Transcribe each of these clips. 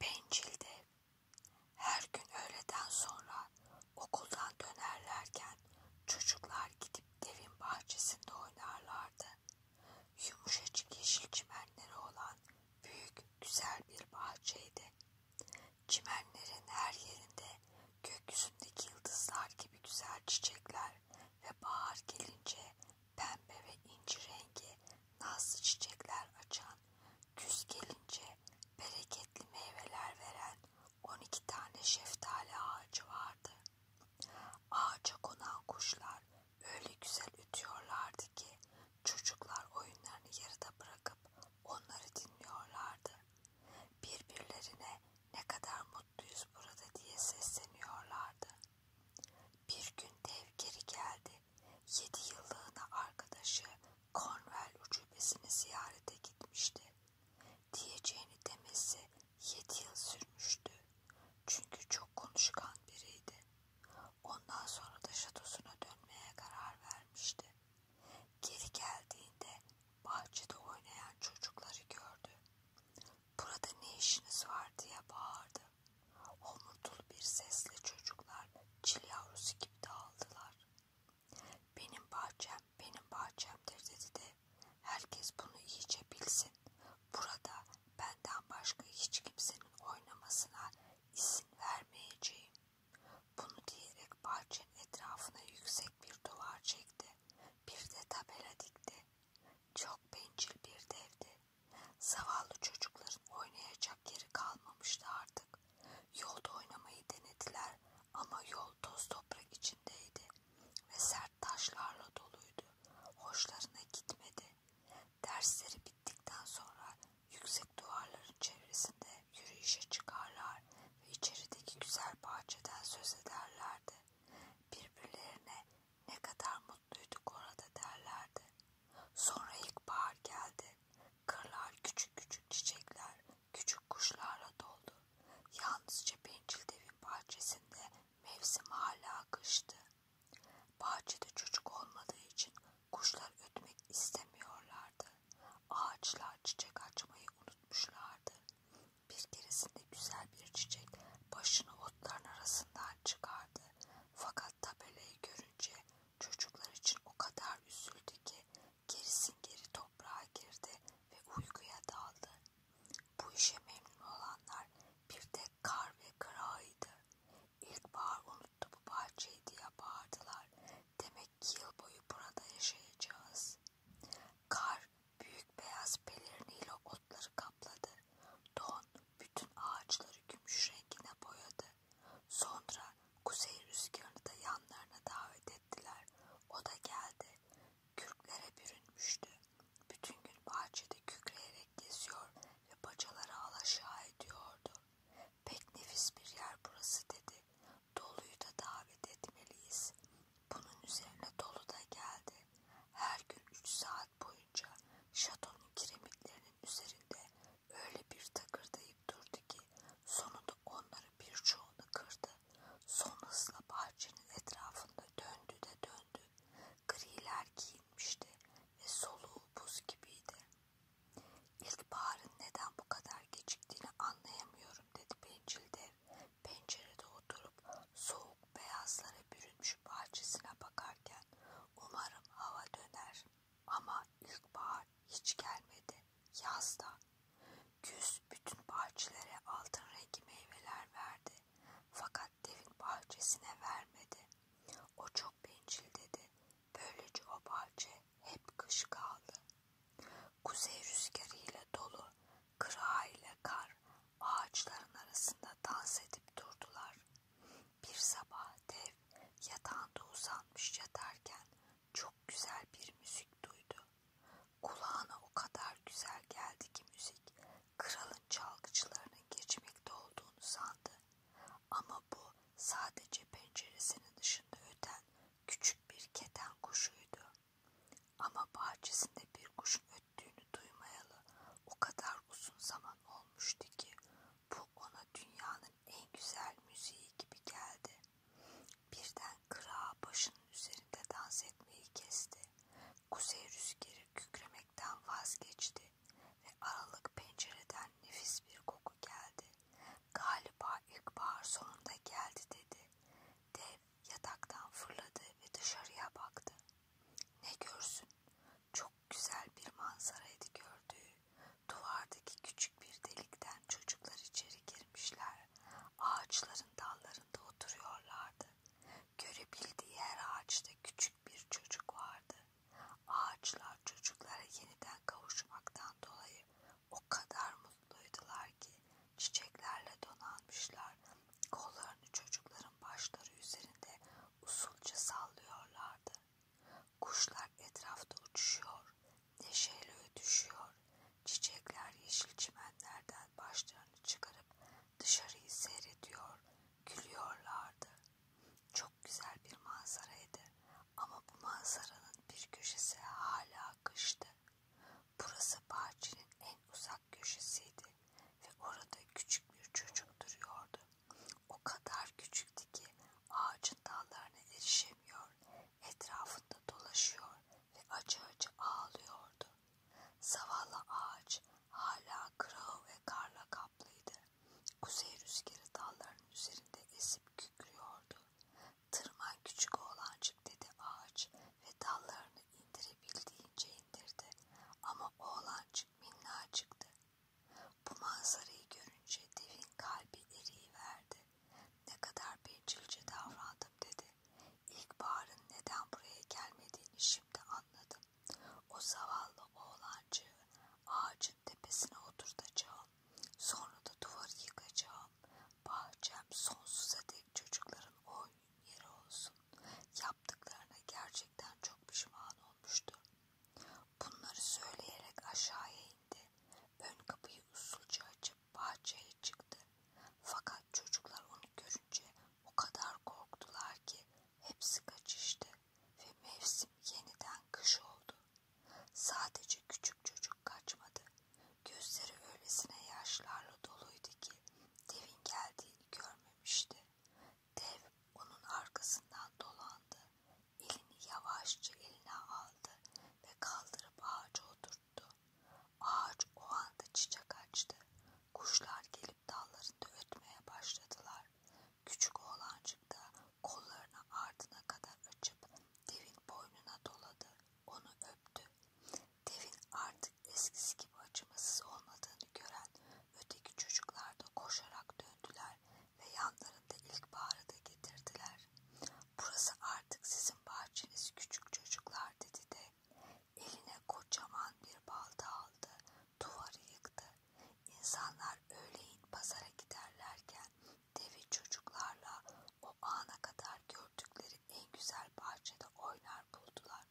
Bencildi. Her gün öğleden sonra okuldan dönerlerken çocuklar gidip devin bahçesinde oynarlardı. Yumuşacık yeşil çimenleri olan büyük güzel bir bahçeydi. Çimenlerin her yerinde gökyüzündeki yıldızlar gibi güzel çiçekler ve bahar gelince pembe ve inci rengi nazlı çiçekler açan Küs gelince bereketli meyveler veren 12 tane şeftali ağacı vardı. Ağaca konan kuşlar öyle güzel ütüyorlardı ki çocuklar oyunlarını yarıda bırakıp onları dinliyorlardı. Birbirlerine ne kadar mutluyuz burada diye sesleniyorlardı. Bir gün dev geri geldi. Yedi yıllığına arkadaşı Cornwall ucubesini ziyarete gitmişti. Diyeceğini demesi yedi yıl sürmüştü. Çünkü çok konuşkan biriydi. Ondan sonra da şatosuna dönmeye karar vermişti. Geri geldiğinde bahçede oynayan çocukları gördü. Burada ne işiniz var diye bağırdı. Homurtul bir sesle çocuklar çil yavrusu gibi dağıldılar. Benim bahçem, benim bahçemdir dedi de herkes bunu iyice bilsin. Burada benden başka hiç kimsenin oynamasına izin vermeyeceğim. Bunu diyerek bahçenin etrafına yüksek bir duvar çekti. Bir de tabela dikti. Çok bencil bir devdi. Zavallı çocukların oynayacak yeri kalmamıştı artık. Yolda oynamayı denediler ama yol toz toprak içindeydi ve sert taşlarla doluydu. Hoşlarına gitmedi. Dersleri bittikten sonra yüksek duvarların çevresinde yürüyüşe çıkarlar ve içerideki güzel bahçeden söz ederlerdi. Birbirlerine ne kadar mutluyduk orada derlerdi. Sonra ilkbahar geldi. Kırlar küçük küçük çiçekler, küçük kuşlarla doldu. Yalnızca bencil devin bahçesinde mevsim hala kıştı. Bahçede çocuk olmadığı için kuşlar ötmek istemiyorlardı. Ağaçlar çiçek açmayı unutmuşlardı. Bir keresinde güzel bir çiçek başını otların arasından çıkardı. Fakat tabelayı görünce Çocuklar için o kadar üzüldü ki gerisin geri toprağa girdi ve uykuya daldı. Bu işe memnun olanlar bir tek kar ve kırağıydı. İlkbahar unuttu bu bahçeyi diye bağırdılar. Demek ki yıl boyu burada yaşayacağız. Kar büyük beyaz peleriniyle otları kapladı. Don bütün ağaçları gümüş rengine boyadı. Sonra kuzey rüzgarını da yanlarına davet ettiler. O da geldi. Kürklere bürünmüştü. Bütün gün bahçede kükreyerek geziyor ve bacaları alaşağı ediyordu. Pek nefis bir yer burası dedi. Doluyu da davet etmeliyiz. Bunun üzerine Dolu da geldi. Her gün üç saat boyunca şatonun kiremitlerinin üzerinde öyle bir takırdayıp durdu ki sonunda onları birçoğunu kırdı. Son hızla bahçenin etrafında döndü de döndü. Griler giyinmişti ve soluğu buz gibiydi. İlkbaharın neden bu kadar geciktiğini anlayamıyorum dedi bencil dev. Pencerede oturup soğuk beyazlara bürünmüş bahçesine bakarken umarım hava döner. Ama ilkbahar hiç gelmedi. Yazda. Güz bütün bahçelere altın rengi meyveler verdi. Fakat devin bahçesine vermedi. O çok bencil dedi. Böylece o bahçe hep kış kaldı. Kuzey rüzgarıyla dolu, kıra ile kar ağaçların arasında dans edip durdular. Bir sabah dev yatağında uzanmış yatarken çok güzel bir müzik duydu. Kulağına o kadar güzel geldi ki müzik kralın çalgıçlarının geçmekte olduğunu sandı. Ama bu sadece penceresinin dışında öten küçük bir keten kuşuydu. Ama bahçesinde bir kuşun öttüğünü duymayalı o kadar uzun zaman olmuştu ki bu ona dünyanın en güzel müziği gibi geldi. Birden kıra başının üzerinde dans etmeyi kesti. Kuzey rüzgarı kükremekten vazgeçti ve aralık pencereden nefis bir koku geldi. Galiba ilkbahar sonunda geldi dedi. Dev yataktan fırladı ve dışarıya baktı. Ne görsün? Çok güzel bir manzaraydı gördüğü. Duvardaki küçük bir delikten çocuklar içeri girmişler. Ağaçların dallarında oturuyorlardı. Görebildiği her ağaçta küçük bir çocuk vardı. Ağaçlar çocuklara yeniden kavuşmaktan dolayı o kadar mutluydular ki çiçeklerle donanmışlar. Kollarını çocukların başları üzerinde usulca sallıyorlardı. Kuşlar etrafta uçuşuyor, neşeyle ötüşüyor. Çiçekler yeşil çimenlerden başlarını çıkarıp dışarıyı seyrediyor, gülüyorlardı. Çok güzel bir manzaraydı ama bu manzaranın bir köşesi hala kıştı. Burası bahçenin en uzak köşesiydi ve orada küçük bir çocuk duruyordu. O kadar küçüktü ki ağacın dallarına erişemiyor, etrafında dolaşıyor ve acı acı ağlıyordu. Zavallı ağaç hala kırığı ve karla kaplıydı. Kuzey rüzgarı dalların üzerinde esip kükrüyordu. Tırman küçük oğlancık dedi ağaç ve dallarını indirebildiğince indirdi. Ama oğlancık minnacıktı. Bu manzarayı görünce devin kalbi eriyiverdi. Ne kadar bencilce davrandım dedi. İlkbaharın neden buraya gelmediğini şimdi anladım. O zavallı oğlancığı ağacın tepesine oturtacağım. Sonra da duvarı yıkacağım. Bahçem sonsuza dek çocukların oyun yeri olsun. Yaptıklarına gerçekten çok pişman olmuştu. Bunları söyleyerek aşağıya indi. Ön kapıyı usulca açıp bahçeye çıktı. Fakat çocuklar onu görünce o kadar korktular ki hepsi kaçıştı ve mevsim yeniden kış oldu. Sadece küçük çocuk kaçmadı. Gözleri öylesine yaşlarla doluydu ki devin geldiğini görmemişti. Dev onun arkasından dolandı. Elini yavaşça eline aldı ve kaldırıp ağaca oturttu. Ağaç o anda çiçek açtı. Kuşlar gelip dallarında ötmeye başladılar. Küçük oğlancık da kollarını ardına kadar açıp devin boynuna doladı. Onu öptü. Devin artık eskisi gibi acımasız olmadığını gören öteki çocuklar da koşarak döndüler ve yanlarında ilkbaharı da getirdiler. Burası artık sizin bahçeniz küçük çocuklar dedi de eline kocaman bir balta aldı, duvarı yıktı. İnsanlar öğleyin pazara giderlerken devi çocuklarla o ana kadar gördükleri en güzel bahçede oynar buldular.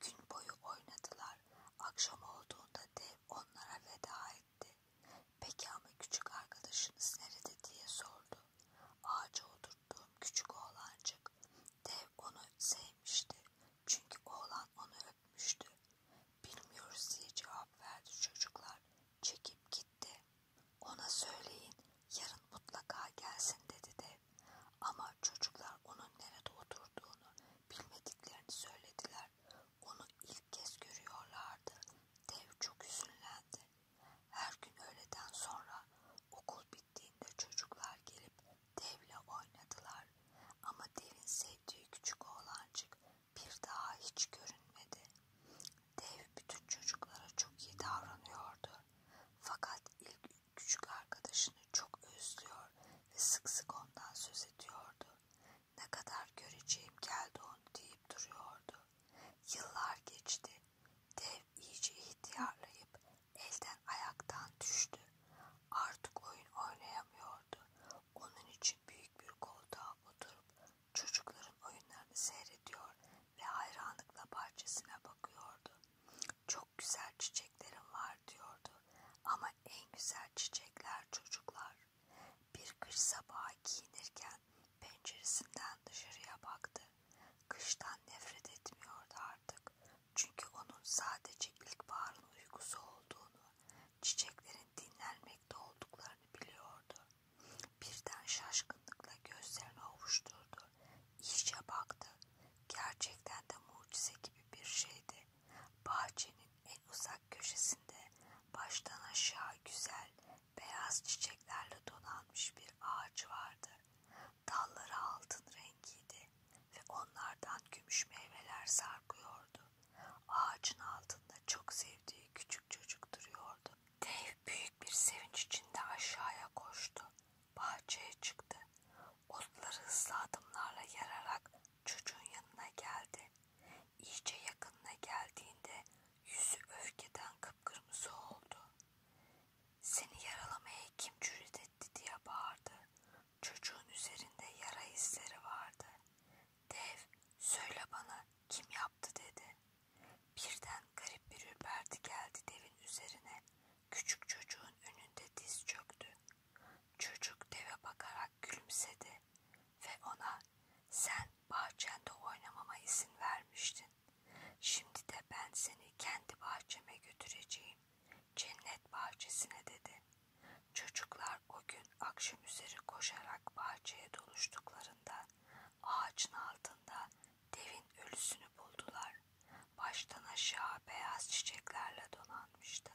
Gün boyu oynadılar. Akşam olduğunda dev onlara veda etti. Peki ama küçük arkadaşınız nerede diye sordu. Ağaca oturttuğum küçük oğlancık. Dev onu sevmişti. Çünkü oğlan onu öpmüştü. Bilmiyoruz diye cevap verdi çocuklar. Çekip gitti. Ona söyleyin yarın mutlaka gelsin dedi dev. Ama çocuklar onun nerede oturduğunu bilmediklerini söylediler. Onu ilk kez görüyorlardı. Dev çok üzünlendi. Her gün öğleden sonra okul bittiğinde çocuklar gelip devle oynadılar. Ama devin sevdiği küçük oğlancık bir daha hiç görünmedi. Dev bütün çocuklara çok iyi davranıyordu. Fakat ilk küçük arkadaşını çok özlüyor ve sık sık ondan söz ediyordu ne kadar göreceğim geldi onu deyip duruyordu. Yıllar geçti. Dev iyice ihtiyarlayıp elden ayaktan düştü. Artık oyun oynayamıyordu. Onun için büyük bir koltuğa oturup çocukların oyunlarını seyrediyor ve hayranlıkla bahçesine bakıyordu. Çok güzel çiçeklerim var diyordu. Ama en güzel çiçekler çocuklar. Bir kış sabahı giyinirken penceresinden dışarıya baktı. Kıştan nefret etmiyordu artık. Çünkü onun sadece ilkbaharın uykusu olduğunu, çiçeklerin dinlenmekte olduklarını biliyordu. Birden şaşkınlıkla gözlerini ovuşturdu. İyice baktı. Gerçekten de mucize gibi bir şeydi bahçenin en uzak köşesinde baştan aşağı güzel beyaz çiçeklerle donanmış bir ağaç vardı. Dalları altın rengiydi ve onlardan gümüş meyveler sarkıyordu. Ağacın altında çok sevdiği küçük çocuk duruyordu. Dev büyük bir sevinç içinde aşağıya koştu. Bahçeye çıktı. Otları hızlı adımlarla yararak Çocuğun yanına geldi. İyice yakınına geldiğinde yüzü öfkeden kıpkırmızı oldu. Seni yaralamaya kim cüret etti diye bağırdı. Çocuğun üzerinde yara izleri vardı. Dev söyle bana kim yaptı dedi. Birden garip bir ürperti geldi devin üzerine. Küçük çocuğun önünde diz çöktü. Çocuk deve bakarak gülümsedi ve ona sen bahçende oynamama izin vermiştin. Şimdi de ben seni kendi bahçeme götüreceğim. Cennet bahçesine dedi. Çocuklar o gün akşam üzeri koşarak bahçeye doluştuklarında ağacın altında devin ölüsünü buldular. Baştan aşağı beyaz çiçeklerle donanmıştı.